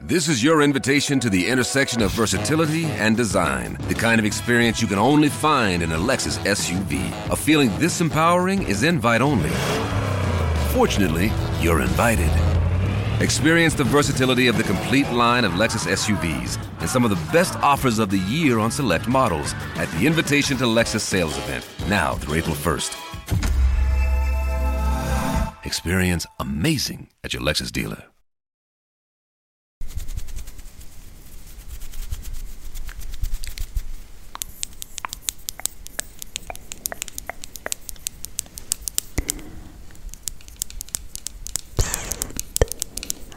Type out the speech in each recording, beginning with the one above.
This is your invitation to the intersection of versatility and design, the kind of experience you can only find in a Lexus SUV. A feeling this empowering is invite only. Fortunately, you're invited. Experience the versatility of the complete line of Lexus SUVs and some of the best offers of the year on select models at the Invitation to Lexus sales event, now through April 1st. Experience amazing at your Lexus dealer.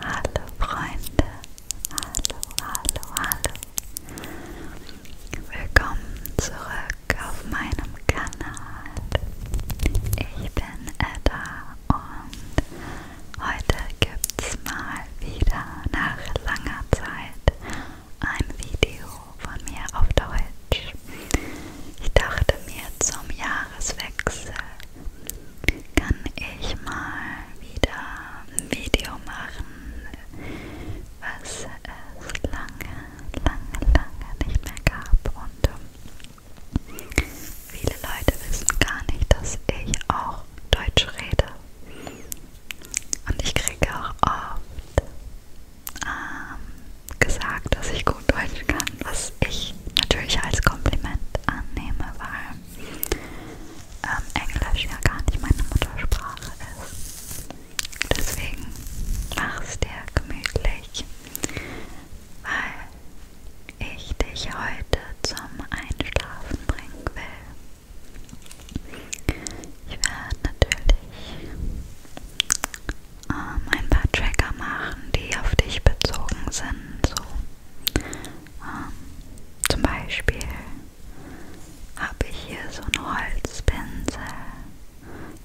Hallo Freunde, hallo, hallo, hallo. Willkommen zurück auf meinem Kanal. Ich bin Edda und heute gibt's mal wieder nach langer Zeit ein Video von mir auf Deutsch. Ich dachte mir zum Jahreswechsel kann ich mal wieder ein Video machen, was es lange lange, lange nicht mehr gab. Und ähm, viele Leute wissen gar nicht, dass ich auch Deutsch rede. Und ich kriege auch oft ähm, gesagt, dass ich gut Deutsch kann, was ich natürlich als Kompliment annehme, weil ähm, Englisch ja gar nicht meine Muttersprache ist. Deswegen mach es dir gemütlich weil ich dich heute zum Einschlafen bringen will. Ich werde natürlich ähm, ein paar Tracker machen, die auf dich bezogen sind. So. Ähm, zum Beispiel habe ich hier so einen Holzpinsel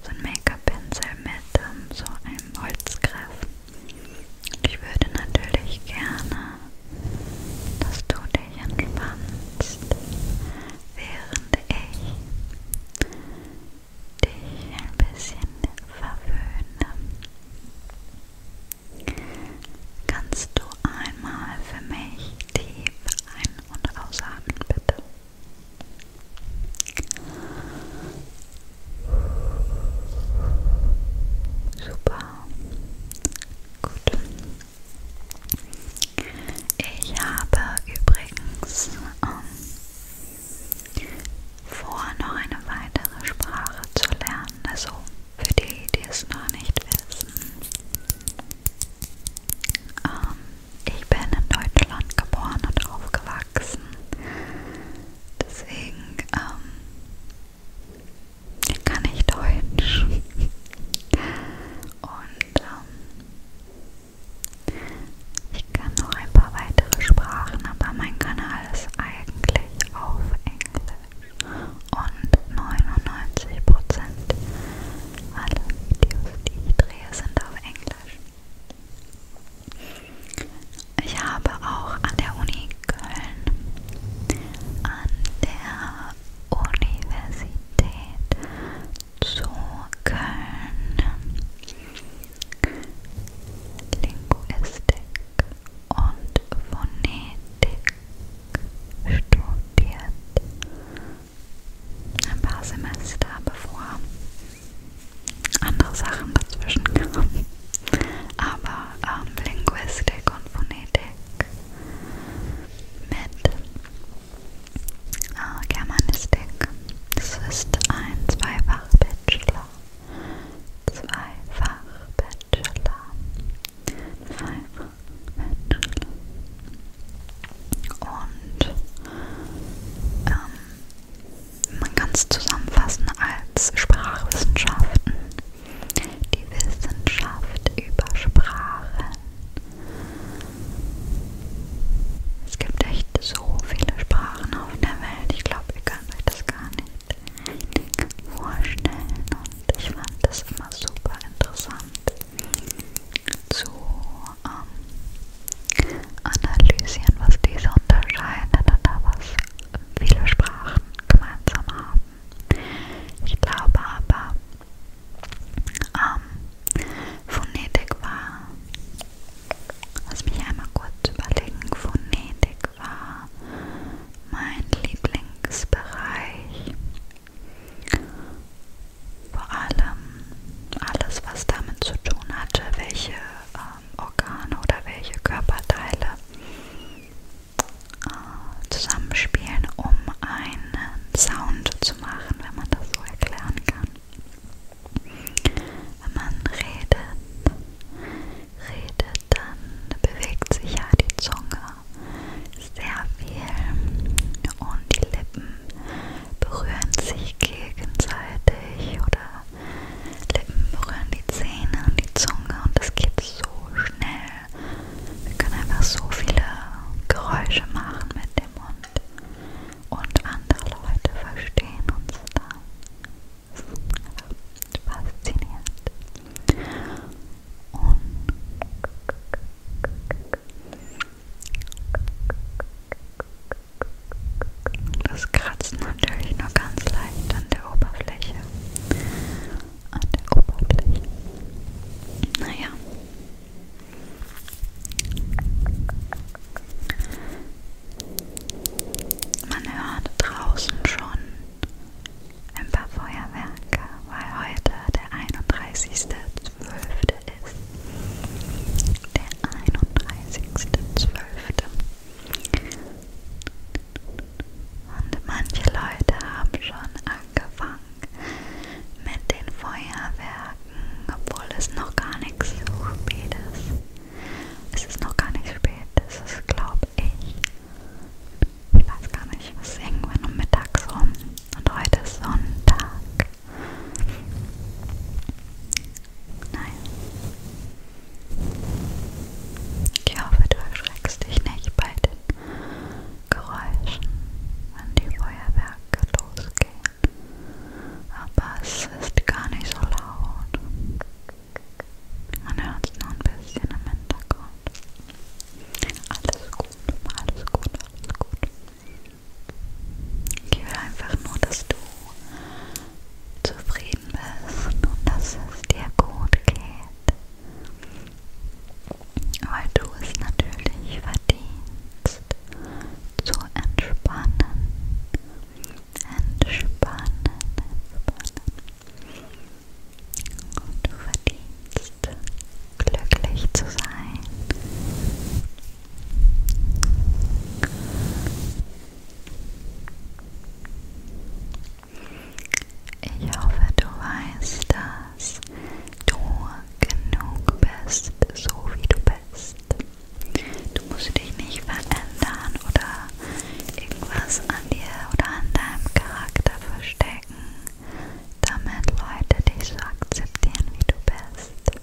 so ein Make-up-Pinsel mit ähm, so einem Holzgriff. Ich würde natürlich gerne, dass du dich entspannst, während ich dich ein bisschen verwöhne. Kannst du einmal für mich tief ein- und ausatmen, bitte? Super. Gut. Ich habe übrigens ähm, vor, noch eine weitere Sprache zu lernen. Also für die, die es noch nicht wissen. Ähm, ich bin in Deutschland geboren und aufgewachsen. Deswegen ähm, kann ich Deutsch. Und ähm, ich kann noch ein paar weitere Sprachen, aber mein Kanal ist eigentlich auf Englisch. Und 99% aller Videos, die ich drehe, sind auf Englisch. Ich habe auch an der Uni Köln, an der Universität zu Köln Linguistik und Phonetik studiert. Ein paar Semester bevor andere Sachen dazwischen kamen. Aber ähm, Linguistik und Phonetik mit äh, Germanistik. Das ist ein zweifach Bachelor. Zweifach Bachelor. Zweifach Bachelor. Und ähm, man kann es zusammenfassen als Sprachwissenschaften. Die Wissenschaft über Sprachen. Es gibt echt so viele Sprachen auf der Welt. Ich glaube, ihr könnt euch das gar nicht vorstellen. Und ich fand das immer super interessant zu ähm, analysieren, was diese unterscheidet und da was viele Sprachen gemeinsam haben. Ich glaube aber, ähm, Phonetik war, lass mich einmal kurz überlegen, Phonetik war mein Lieblingsbereich. Vor allem alles, was damit zu tun hatte, welche ähm, Organe oder welche Körperteile äh, zusammenspielen, um einen Sound zu machen, wenn man das so erklären kann. Wenn man redet, redet, dann bewegt sich ja die Zunge sehr viel und die Lippen berühren sich gegenseitig oder Lippen berühren die Zähne und die Zunge und das geht so schnell. Wir können einfach so viele Geräusche machen mit dem Mund und andere Leute verstehen uns dann. Das ist faszinierend. Und das kratzt natürlich nur ganz leicht an der Oberfläche. An der Oberfläche. Naja. Man hört draußen schon ein paar Feuerwerke, weil heute der 31.12. Heute ist der 31.12. Und manche Leute haben schon angefangen mit den Feuerwerken, obwohl es noch gar nicht so spät ist. Es ist noch gar nicht spät, es ist, glaube ich, ich weiß gar nicht, es ist irgendwann um mittags rum. Und heute ist Sonntag. Nein. Ich hoffe, du erschreckst dich nicht bei den Geräuschen, wenn die Feuerwerke losgehen. Aber es ist gar nicht so laut. Man hört es nur ein bisschen im Hintergrund. Alles gut, alles gut, alles gut. Ich will einfach nur, dass du zufrieden bist und dass es dir gut geht. Weil du es natürlich verdienst, zu entspannen. Entspannen, entspannen. Und du verdienst, glücklich zu sein. Ich hoffe, du weißt, dass du genug bist, so wie du bist. Du musst dich nicht verändern oder irgendwas an dir oder an deinem Charakter verstecken, damit Leute dich so akzeptieren, wie du bist.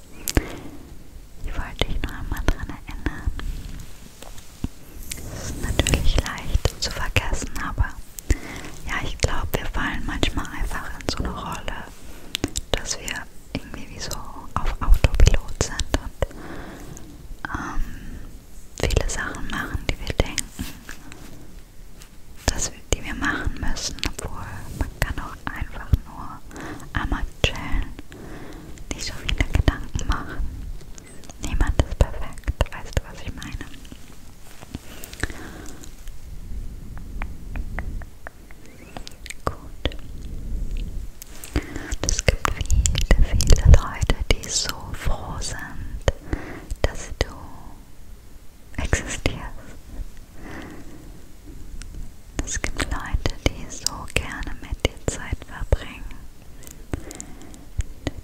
Ich wollte dich noch einmal daran erinnern. Es ist natürlich leicht zu vergessen, aber ja, ich glaube, wir fallen manchmal einfach in so eine Rolle, dass wir irgendwie wie so auf Autopilot sind und ähm, viele Sachen machen, die wir denken, dass wir, die wir machen müssen, obwohl man kann auch einfach nur einmal chillen nicht so viele Gedanken machen. Niemand ist perfekt, weißt du, was ich meine? Gut. Es gibt viele, viele Leute, die so froh sind, dass du existierst. Es gibt Leute, die so gerne mit dir Zeit verbringen,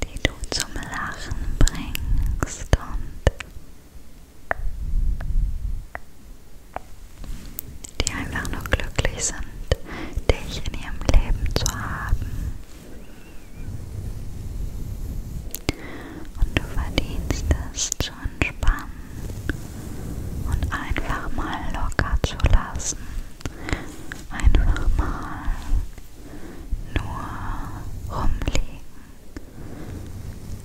die du zum Lachen bringst und die einfach nur glücklich sind, dich in ihrem Leben zu haben. Und du verdienst es zu entspannen und einfach mal locker zu lassen. Einfach mal nur rumliegen,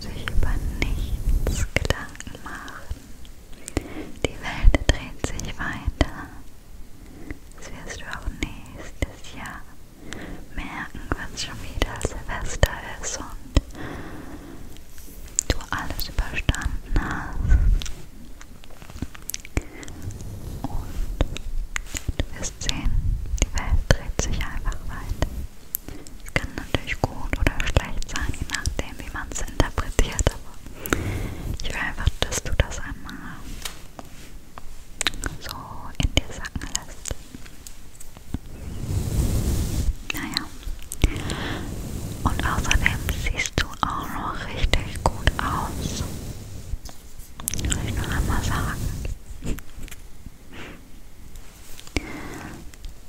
sich über nichts Gedanken machen. Die Welt dreht sich weiter. Das wirst du auch nächstes Jahr merken, wenn schon wieder Silvester ist und du alles überstanden hast. Und du wirst sehen, die Welt dreht sich einfach weiter. Es kann natürlich gut oder schlecht sein, je nachdem, wie man es interpretiert, aber ich will einfach, dass du das einmal so in dir sacken lässt. Naja, mehr. Und außerdem siehst du auch noch richtig gut aus. Soll ich nur einmal sagen.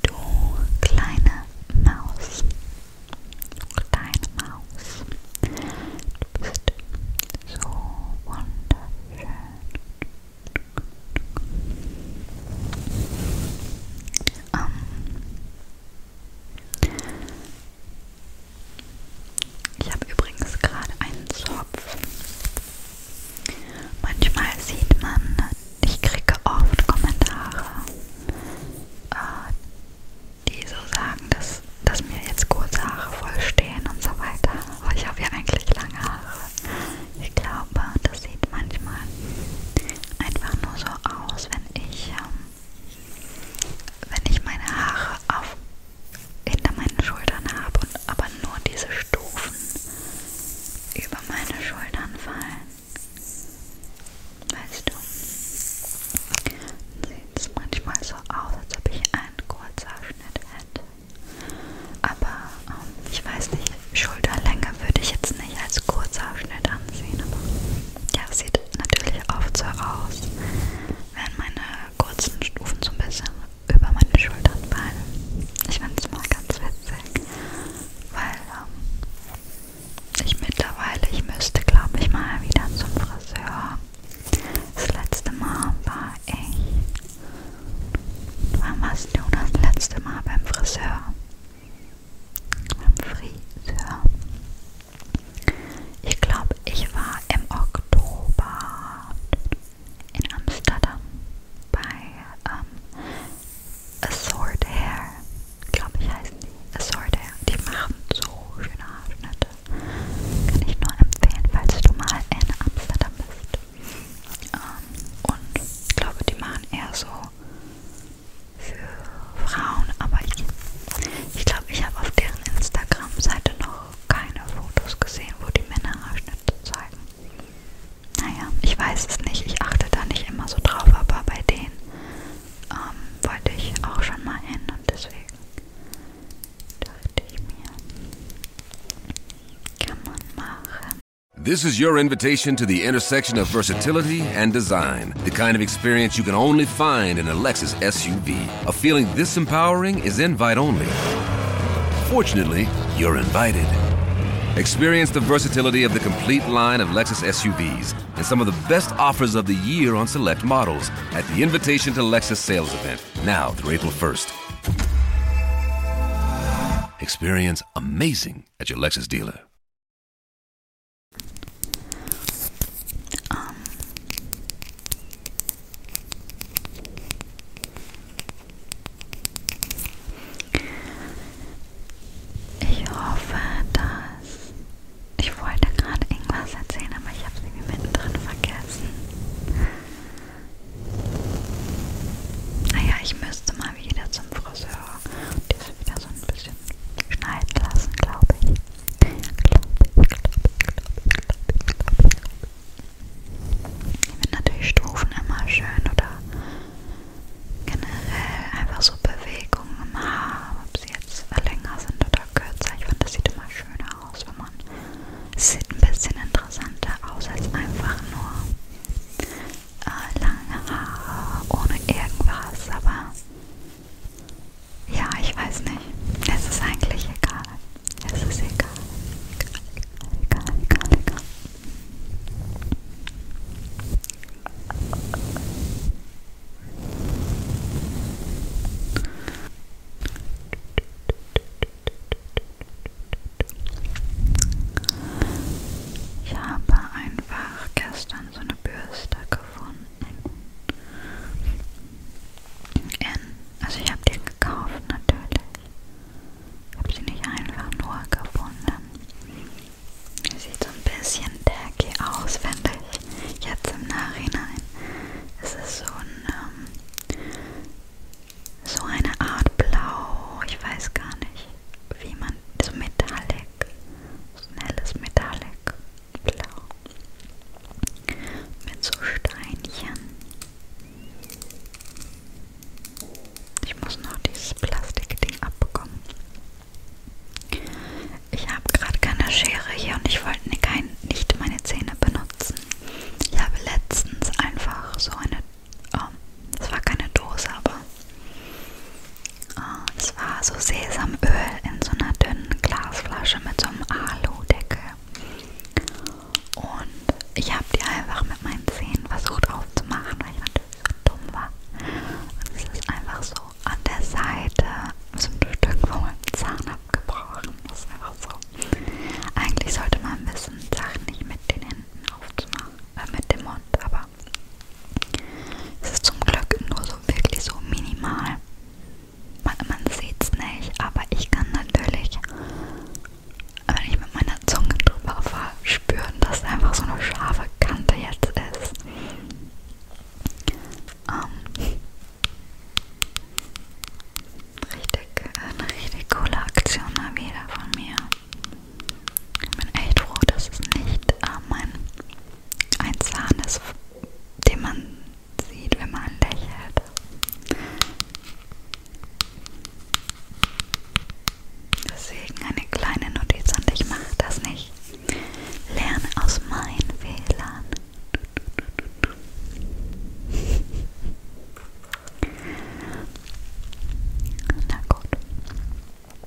Du kleine Maus. Du kleine Maus. Du bist so wunderschön. Ähm ich habe übrigens gerade einen Zopf. Manchmal sieht man, ich kriege oft Kommentare, äh, die so sagen, dass, dass mir jetzt kurze Haare voll stehen und so weiter. Aber ich habe ja eigentlich lange Haare. Ich glaube, das sieht manchmal einfach nur so aus, wenn ich, ähm, wenn ich meine Haare auf, hinter meinen Schultern habe und aber nur diese Stufen über meine Schultern fallen. Weißt du, sieht es manchmal so aus, als ob ich einen Kurzhaarschnitt hätte. Aber ähm, ich weiß nicht, Schulterlänge würde ich jetzt nicht als Kurzausschnitt ansehen, aber ja, es sieht natürlich oft so aus, wenn meine kurzen Stufen so ein bisschen über meine Schultern fallen. Ich finde es mal ganz witzig, weil ähm, ich mittlerweile, ich müsste glaube ich mal wieder zum Friseur. Das letzte Mal war ich. Wann warst du das letzte Mal beim Friseur? beim Friseur. Ich glaube, ich war im Oktober in Amsterdam bei ähm, Assort Hair. Glaube ich heißen die Assort Hair. Die machen so schöne Haarschnitte. Kann ich nur empfehlen, falls du mal in Amsterdam bist. Ähm, und ich glaube, die machen eher so für Frauen, aber ich glaube, ich habe auf deren Instagram-Seite noch keine Fotos gesehen, wo die Männer Haarschnitte zeigen. Naja, ich weiß es nicht, ich achte da nicht immer so drauf, aber bei denen ähm, wollte ich auch schon mal hin und deswegen dachte ich mir, kann man machen. This is your invitation to the intersection of versatility and design, the kind of experience you can only find in a Lexus SUV. A feeling this empowering is invite only. Fortunately, you're invited. Experience the versatility of the complete line of Lexus SUVs and some of the best offers of the year on select models at the Invitation to Lexus sales event, now through April 1st. Experience amazing at your Lexus dealer. Um. Ähm, ich hoffe, dass ich wollte gerade irgendwas erzählen, aber ich habe es irgendwie mittendrin vergessen. Naja, ah ich müsste mal wieder zum Friseur und das wieder so ein bisschen schneiden lassen, glaube ich. Glaube ich, glaube ich, glaube ich, glaube ich, glaube ich. Ich finde natürlich Stufen immer schön oder generell einfach so Bewegungen im Haar, ob sie jetzt länger sind oder kürzer. Ich finde, das sieht immer schöner aus, wenn man. Es sieht ein bisschen interessanter aus als einfach nur äh, lange Haare, ohne irgendwas, aber ja, ich weiß nicht. Es ist eigentlich egal. Es ist egal. Egal, egal, egal, egal. egal. Ich habe einfach gestern dann so eine Bürste gefunden. In, also ich habe die gekauft natürlich. Ich habe sie nicht einfach nur gefunden. Sie sieht so ein bisschen tacky aus, finde ich. Jetzt im Nachhinein. Es ist so ein, ähm, so eine Art Blau, ich weiß gar nicht wie man, so metallic, so ein helles metallic blau mit so Steinchen. Ich muss noch dieses Plastikding abbekommen. Ich habe gerade keine Schere hier und ich wollte ne- nicht meine Zähne benutzen. Ich habe letztens einfach so eine ähm, es war keine Dose, aber äh, es oh, war so Sesamöl in so einer dünnen Glasflasche mit so einem Aludeckel. Und ich habe die einfach mit meinen Zähnen versucht aufzumachen, weil ich natürlich so dumm war. Und es ist einfach so an der Seite, so ein Stück von meinem Zahn abgebrochen. Das ist einfach so. Eigentlich sollte man wissen, Sachen nicht mit den Händen aufzumachen, äh, mit dem Mund, aber aber es ist zum Glück nur so wirklich so minimal. Man, man sieht es nicht, aber ich kann natürlich, wenn ich mit meiner Zunge drüber fahre, spüren, dass einfach so eine scharfe Kante jetzt ist. Ähm, richtig, eine richtig coole Aktion mal wieder von mir. Ich bin echt froh, dass es nicht äh, mein, ein Zahn ist, den man sieht, wenn man lächelt. Deswegen eine kleine Notiz und ich mache das nicht. Lerne aus meinen Fehlern. Na gut.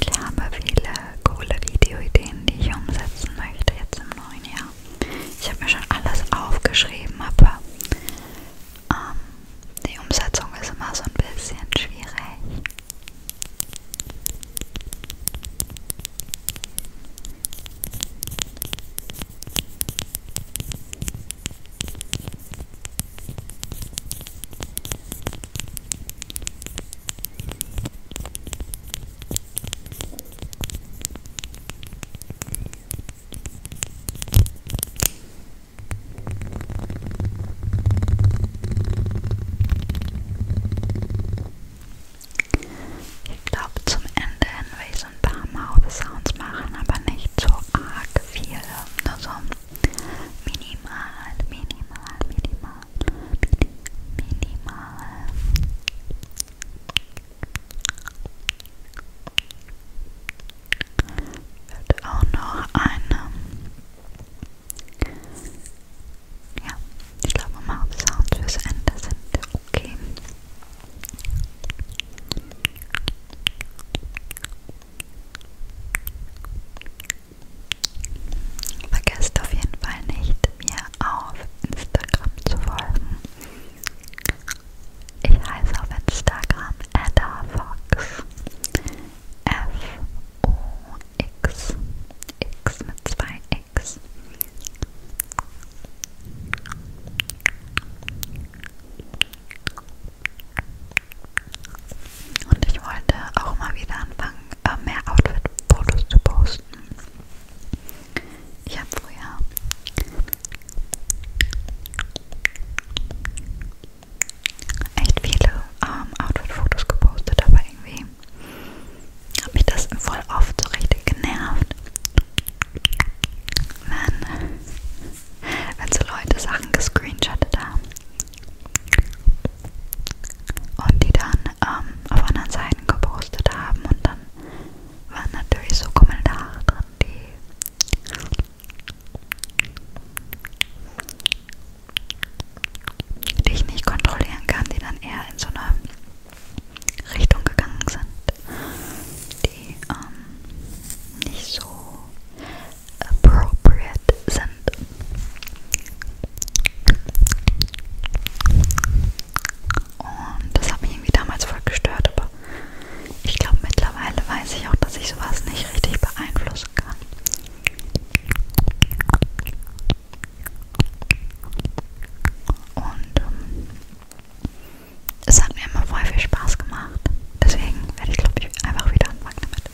Ich habe viele coole Videoideen, die ich umsetzen möchte jetzt im neuen Jahr. Ich habe mir schon alles aufgeschrieben, aber ähm, die Umsetzung ist immer so ein bisschen schwierig. Ich glaube, zum Ende hin will ich so ein paar Mouth-Sounds machen, aber nicht so arg viele, nur so minimal, minimal, minimal minimale wird auch noch eine ja, ich glaube mal Sounds fürs Ende sind okay Vergesst auf jeden Fall nicht, mir auf Instagram zu folgen. Ich heiße auf Instagram Fox F-O-X. X mit zwei X. Und ich wollte auch mal wieder anfangen, äh, mehr Outfit-Fotos zu posten. Ich habe früher echt viele ähm, Outfit-Fotos gepostet, aber irgendwie hat mich das voll oft so richtig genervt, wenn, wenn so Leute Sachen gescreenshottet haben und die dann ähm, auf anderen Seiten gepostet haben und dann waren natürlich so Kommentare drin, die, die ich nicht kontrollieren kann, die dann eher in so eine Richtung gegangen sind, die ähm, nicht so appropriate sind. Und das hat mich irgendwie damals voll gestört, aber ich glaube mittlerweile weiß ich auch, dass ich sowas nicht richtig beeinflussen kann. Und ähm, es hat mir immer voll viel Spaß gemacht. Deswegen werde ich glaube ich einfach wieder anfangen damit.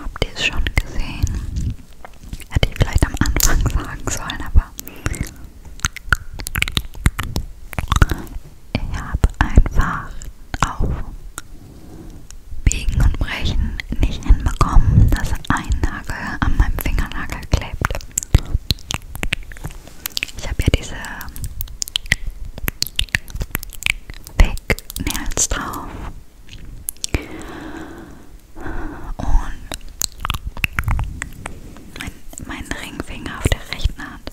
Habt ihr es schon gesehen? Hätte ich vielleicht am Anfang sagen sollen, aber ich habe einfach auf Biegen und Brechen nicht hinbekommen, dass ein Nagel an meinem Fingernagel klebt. Ich habe ja diese Fake Nails drauf. Und mein, mein Ringfinger auf der rechten Hand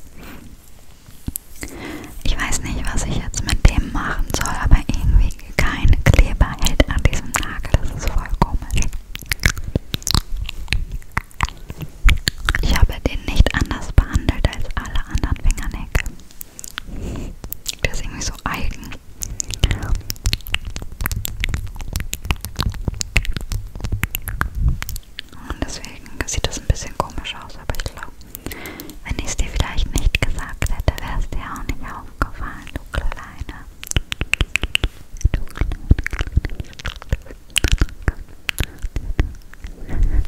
ich weiß nicht, was ich jetzt mit dem machen soll, aber irgendwie kein Kleber hält an diesem Nagel. Das ist voll komisch. Ich habe den nicht anders behandelt als alle anderen Fingernägel. Der ist irgendwie so eigen. Und deswegen sieht das ein bisschen komisch aus, aber ich glaube, wenn ich es dir vielleicht nicht gesagt hätte, wäre es dir auch nicht aufgefallen, du Kleine. Du Kleine. Kleine.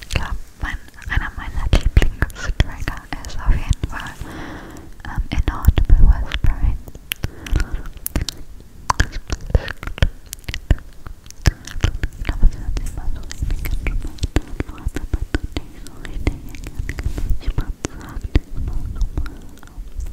Ich glaube, mein, einer meiner Lieblingstrigger ist auf jeden Fall ähm, Inaudible Whispering. Ich glaube, es hört sich mal so richtig entspannt an, aber man tut nicht so richtig erkennen. Ich mag es, sagt immer nochmal auf.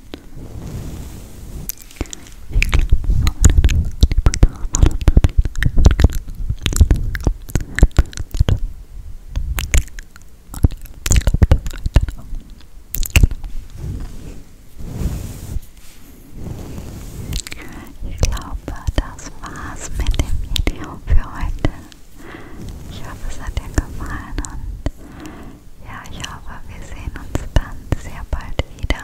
Ich glaube, das war's mit dem Video für heute. Ich hoffe, es hat dir gefallen und ja, ich hoffe, wir sehen uns dann sehr bald wieder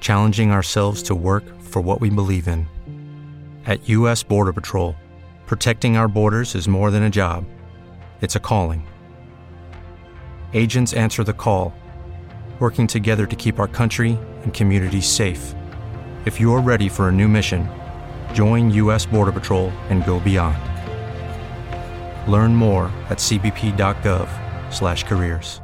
challenging ourselves to work for what we believe in. At U.S. Border Patrol, protecting our borders is more than a job, it's a calling. Agents answer the call, working together to keep our country and communities safe. If you're ready for a new mission, join U.S. Border Patrol and go beyond. Learn more at cbp.gov/careers.